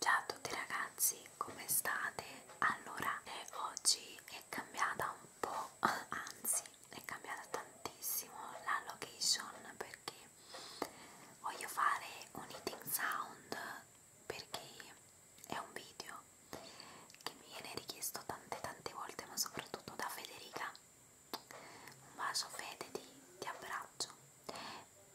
Ciao a tutti ragazzi, come state? Allora, oggi è cambiata un po', anzi è cambiata tantissimo la location perché voglio fare un eating sound perché è un video che mi viene richiesto tante tante volte ma soprattutto da Federica un bacio Fede, ti, ti abbraccio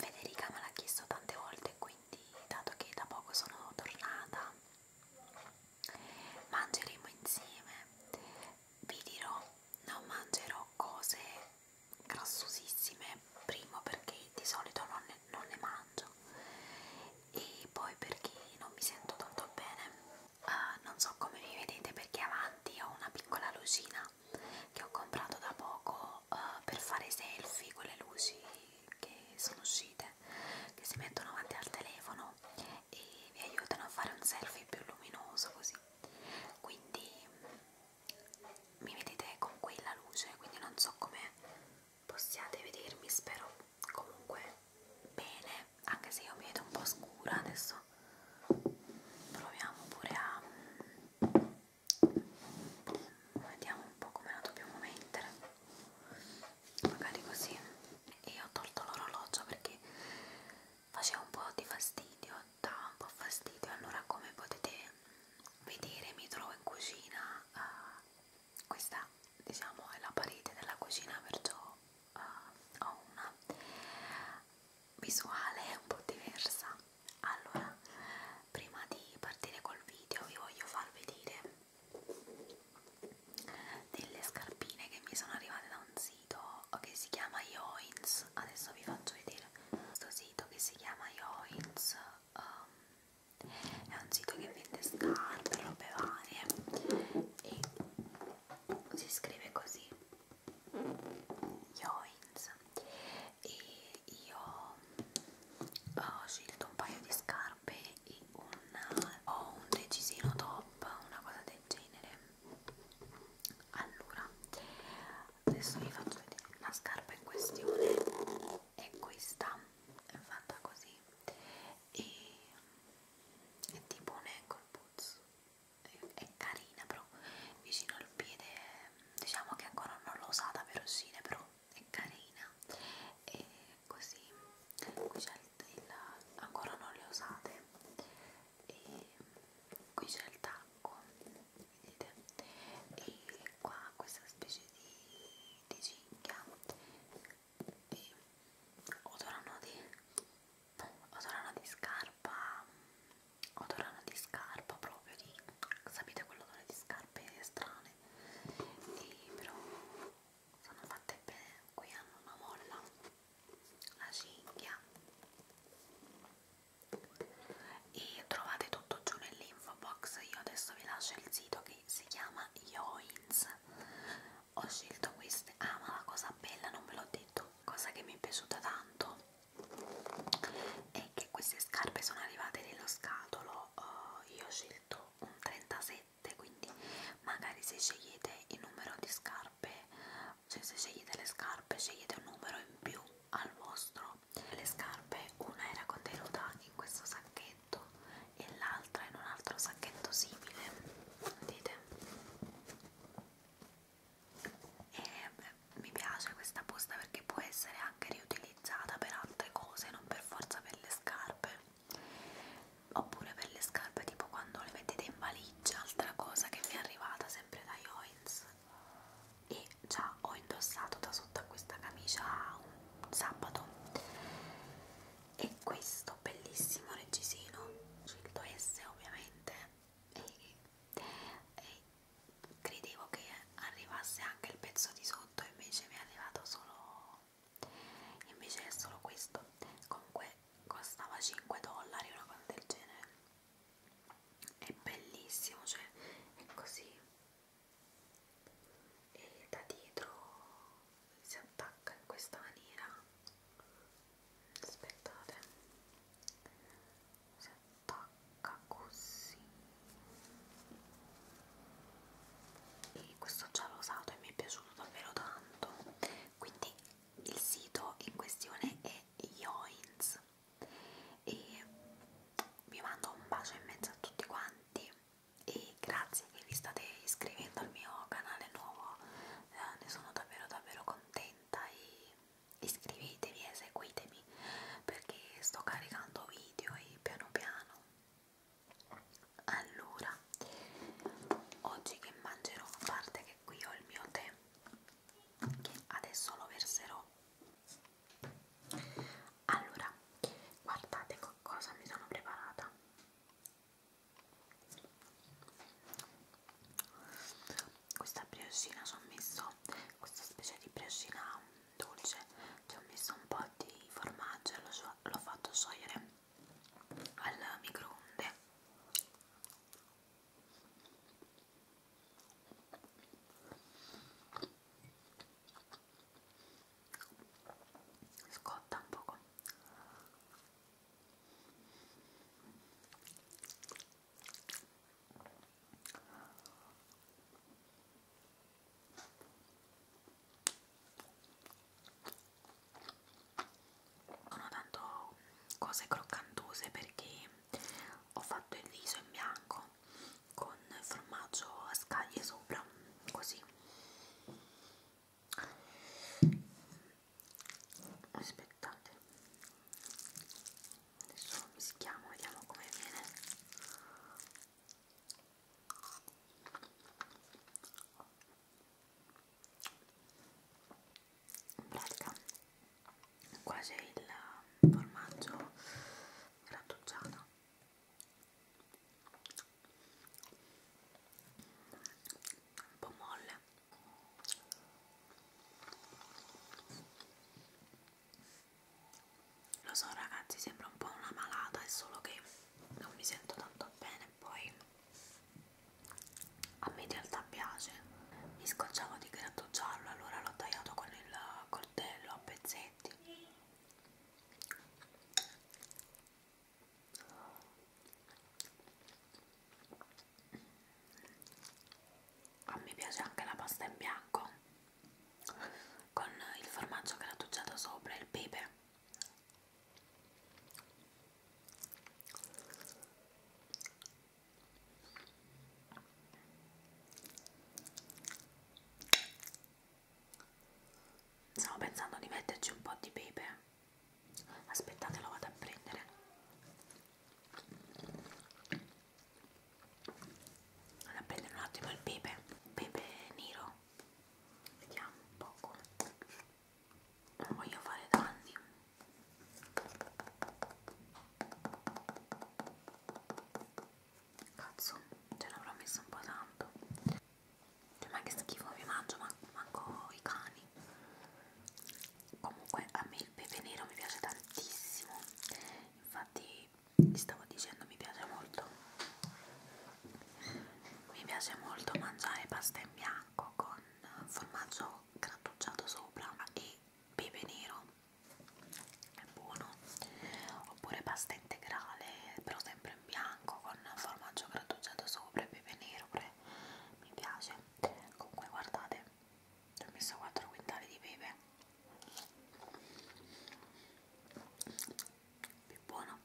Federica me l'ha chiesto tante volte, quindi dato che da poco sono tornata, mangeremo insieme. Vi dirò, non mangerò cose grassosissime, primo perché di solito non ne, non ne mangio e poi perché non mi sento tanto bene. Uh, non so come mi vedete perché avanti ho una piccola lucina che ho comprato da poco uso uh, eh, per fare selfie quelle luci che sono uscite che si mettono avanti al telefono e vi aiutano a fare un selfie più luminoso così quindi mh, mi vedete con quella luce quindi non so come possiate vedermi spero comunque bene anche se io mi vedo un po' scura adesso proviamo pure a vediamo un po' come la dobbiamo mettere magari così e io ho tolto l'orologio perché faceva un po' di fastidio dava un po' fastidio allora come potete vedere mi trovo in cucina uh, questa diciamo è la parete della cucina perciò uh, ho una visuale un po' diversa allora prima di partire col video vi voglio far vedere delle scarpine che mi sono arrivate da un sito che si chiama Yoins adesso vi faccio vedere questo sito che si chiama Yoins um, è un sito che vende scarpe, robe varie e si scrive così Yoins e io ho scelto un paio di scarpe e una, ho un decisino top, una cosa del genere allora adesso vi faccio vedere la scarpa in questione è questa è fatta così e è tipo un ankle boots è carina però vicino al piede diciamo che ancora non l'ho usata per uscire però è carina e così qui c'è il, il ancora non le usate e qui c'è il tacco vedete e qua questa specie di, di cinghia e odorano di odorano di scarpa odorano di scarpa proprio di sapete quell'odore di scarpe strane e però sono fatte bene qui hanno una molla la cinghia e trovate tutto giù nell'info box io adesso vi lascio il sito che si chiama Yoins ho scelto queste ah ma la cosa bella non ve l'ho detto cosa che mi è piaciuta tanto e che queste scarpe sono arrivate nello scatolo uh, io ho scelto un 37 quindi magari se scegliete il numero di scarpe cioè se scegliete le scarpe scegliete un numero in più al vostro le scarpe una era contenuta in questo sacchetto e l'altra in un altro sacchetto simile vedete e mi piace questa busta perché può essere anche riutilizzata per altre cose, non per forza per le scarpe oppure per le scarpe tipo quando le mettete in valigia altra cosa che mi è arrivata sempre da Joins e già ho indossato da sotto a questa camicia un sabato e questo bellissimo reggiseno scelto S ovviamente e, e, credevo che arrivasse anche il pezzo di sotto invece mi è arrivato solo invece è solo questo comunque costava 5 dollari una cosa del genere è bellissimo cioè è così e da dietro si attacca in questa maniera aspettate si attacca così e questo già l'ho usato e mi è piaciuto davvero tanto quindi il sito in questione è Yoins e vi mando un bacio in mezzo a tutti quanti e grazie che vi state iscrivendo al mio canale nuovo eh, ne sono davvero davvero contenta e iscrivetevi e seguitemi problemi perché sto caricando video e piano piano allora oggi che mangerò a parte che qui ho il mio tè che adesso lo verserò allora guardate cosa mi sono preparata questa briochina ci ho messo questa specie di briochina dolce ci ho messo un po' di formaggio e l'ho so fatto sciogliere al microonde scotta un poco sono tanto cose croccantose perché ho fatto il viso in bianco con formaggio a scaglie sopra così aspettate adesso lo mischiamo vediamo come viene in pratica qua c'è il formaggio grattugiato un po' molle lo so ragazzi sembra un po' una malata è solo che non mi sento tanto bene poi a me in realtà piace mi scocciavo di gratto giallo allora l'ho tagliato con il coltello a pezzetti a me piace anche la pasta in bianco con il formaggio grattugiato sopra e il pepe Stavo pensando di metterci un po' di pepe. Aspettate, lo vado a prendere. Vado a prendere un attimo il pepe, pepe nero, vediamo un poco, non voglio fare danni. Cazzo, ce l'avrò messo un po' tanto. Cioè, ma che schifo mi mangio, man manco i cani. Comunque a me il pepe nero mi piace tantissimo. Infatti vi stavo dicendo mi piace molto mi piace molto mangiare pasta in bianco con formaggio grattugiato sopra e pepe nero è buono oppure pasta integrale però sempre in bianco con formaggio grattugiato sopra e pepe nero pure mi piace comunque guardate ci ho messo 4 quintali di pepe più buono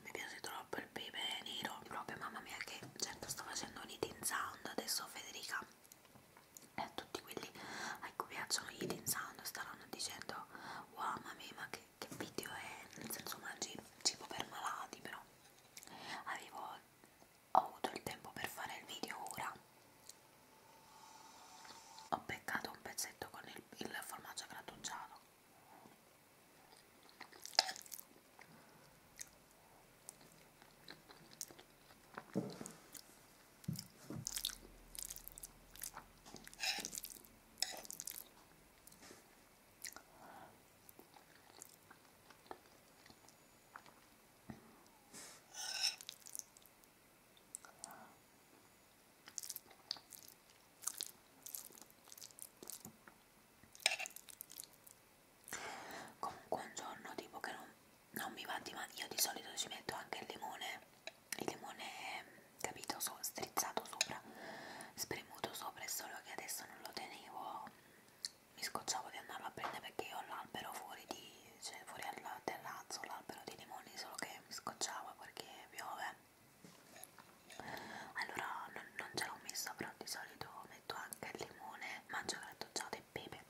mi piace troppo il pepe nero proprio mamma mia che certo sto facendo un eating sound adesso Federica e eh, a tutti quelli a cui piacciono gli eating sound staranno dicendo wow mamma mia ma che, che video è nel senso mangi cibo per malati però avevo ho avuto il tempo per fare il video ora ho beccato un pezzetto con il, il formaggio grattugiato Comunque un giorno tipo che non, non mi va di mano, io di solito ci metto anche il limone, il limone capito, so, strizzato sopra, spremuto sopra, è solo che adesso non lo tenevo mi scocciavo di andarlo a prendere perché io ho l'albero fuori di cioè fuori al terrazzo l'albero di limoni solo che mi scocciava perché piove allora non, non ce l'ho messa però di solito metto anche il limone mangio grattugiato e pepe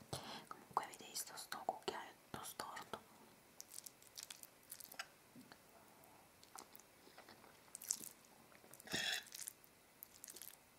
comunque avete visto sto cucchiaio storto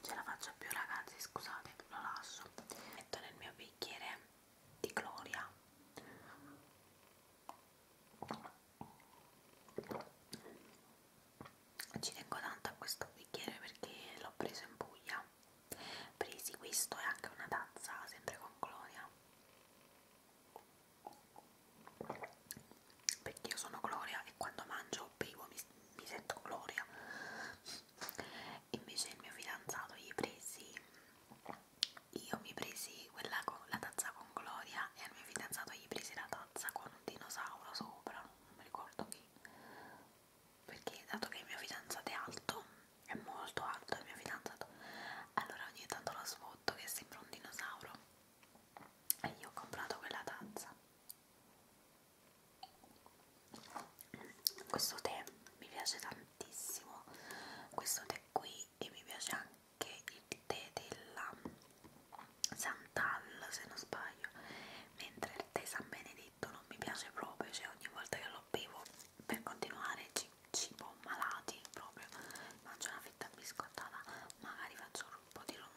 ce la faccio più ragazzi scusate lo lascio metto nel mio bicchiere di gloria ci tengo tanto a questo bicchiere perché l'ho preso in Puglia presi questo e anche una tazza sempre con gloria perché io sono Gloria e quando mangio bevo mi, mi sento Gloria invece il mio fidanzato gli presi io mi presi quella con la tazza con Gloria e al mio fidanzato gli presi la tazza con un dinosauro sopra non mi ricordo chi perché dato che il mio fidanzato è alto è molto alto il mio fidanzato allora ogni tanto lo sfotto che sembra un dinosauro e io ho comprato quella tazza questo tè mi piace tantissimo questo tè qui e mi piace anche il tè della Santal se non sbaglio mentre il tè San Benedetto non mi piace proprio cioè ogni volta che lo bevo per continuare ci cibo malati proprio mangio una fetta biscottata magari faccio un po' di rumore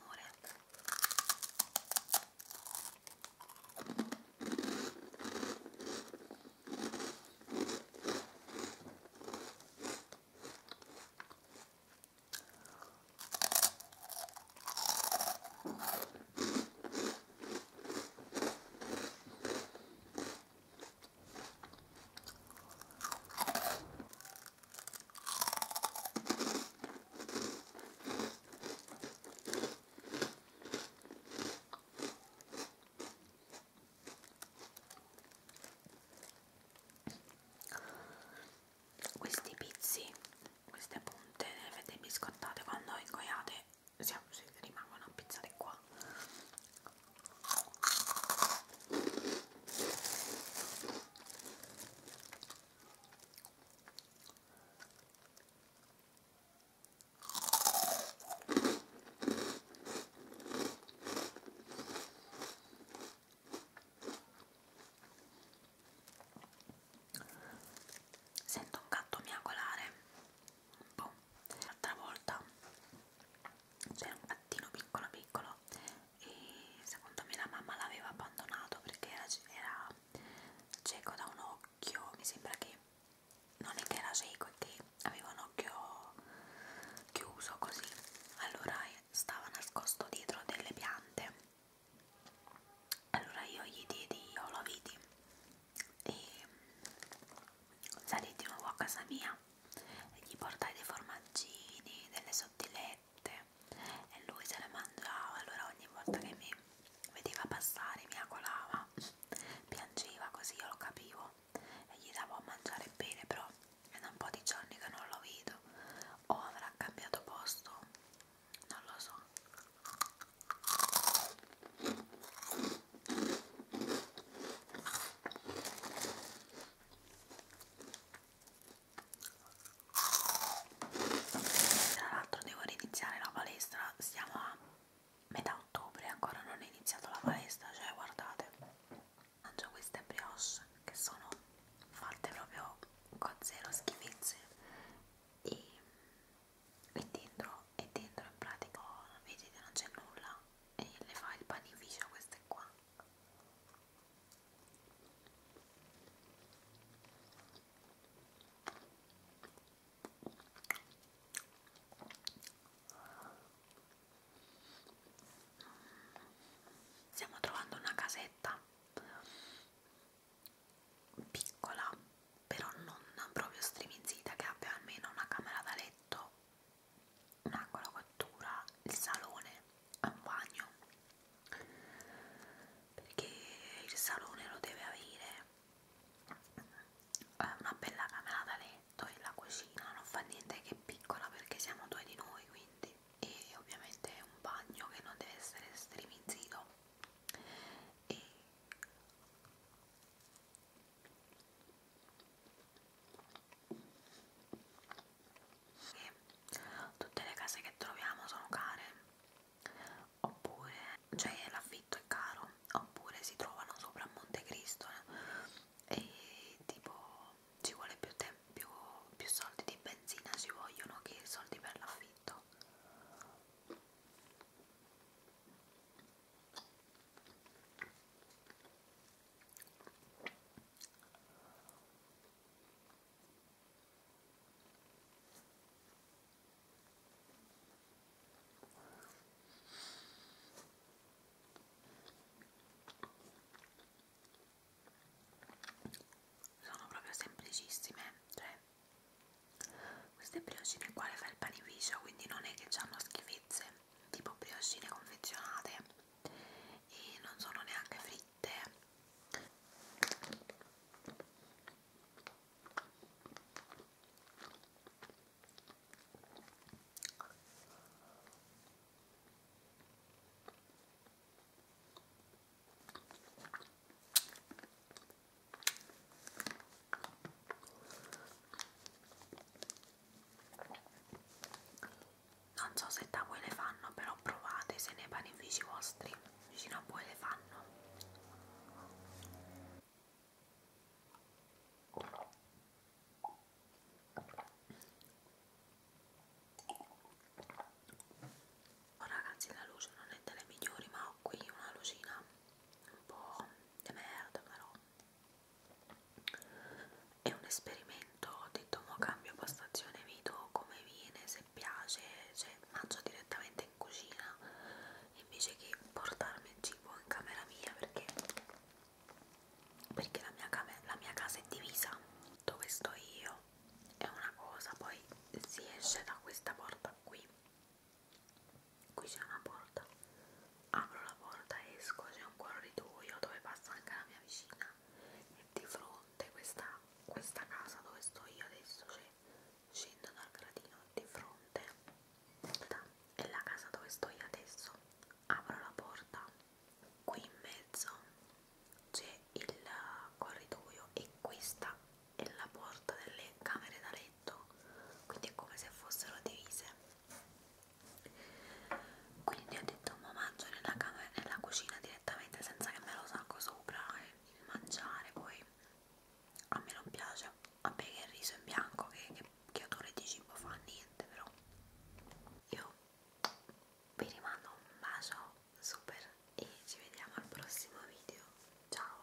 questi pizzi, queste punte le avete biscottate quando ingoiate siamo, se rimangono a pizzare qua Sento un gatto miagolare boh. l'altra volta c'era un gattino piccolo piccolo e secondo me la mamma l'aveva abbandonato perché era, era cieco da un occhio mi sembra che non è che era cieco è che aveva un occhio chiuso così allora eh, stava nascosto dietro delle piante allora io gli diedi io lo vidi e salì di nuovo a casa mia e gli portai dei formaggini, delle sottilette e lui se le mangiava, allora ogni volta che mi vedeva passare mi acolava, piangeva così, io lo capivo e gli davo a mangiare bene, però è da un po' di giorni che non lo vedo o avrà cambiato posto, non lo so tra l'altro devo riniziare la palestra, siamo a metà ottobre, ancora non è iniziato la palestra, cioè guardate, mangio queste brioche che sono fatte proprio con zero schifezze e, e dentro, e dentro in pratica, vedete non c'è nulla e le fa il panificio queste qua stiamo trovando una casetta piccola però non proprio striminzita che abbia almeno una camera da letto un angolo cottura, il salone e un bagno perché il salone lo deve avere una bella camera da letto e la cucina non fa niente che è piccola perché siamo due di noi quindi e ovviamente è un bagno che non deve essere estremizzito e tutte le case che troviamo sono care oppure cioè l'affitto è caro oppure si trovano sopra a Montecristo e tipo ci vuole più, più, più soldi di benzina ci vogliono che soldi per l'affitto sono proprio semplicissime, cioè queste briochine qua le fa il panificio, quindi non è che hanno schifezze tipo briochine confezionate e non sono neanche fritte non so se da voi le fanno però provate se nei panifici vostri vicino a voi le fanno oh, ragazzi la luce non è delle migliori ma ho qui una lucina un po' di merda però è un esperimento, detto mo cambio postazione, vedo come viene, se piace, cioè mangio direttamente in cucina invece che portarmi il cibo in camera mia perché, perché la, mia camera, la mia casa è divisa dove sto io è una cosa, poi si esce da questa porta qui qui c'è una porta apro la porta esco c'è un corridoio dove passa anche la mia vicina e di fronte questa, questa casa dove sto io adesso c'è scendo dal gradino di fronte è la casa dove sto io adesso apro la porta qui in mezzo c'è il uh, corridoio e questa è la porta delle camere da letto quindi è come se fossero divise quindi ho detto ma mangio nella, camera, nella cucina direttamente senza che me lo sacco sopra e il mangiare poi a me non piace vabbè che il riso in bianco che, che, che odore di cibo fa niente però io vi rimando un bacio super e ci vediamo al prossimo video ciao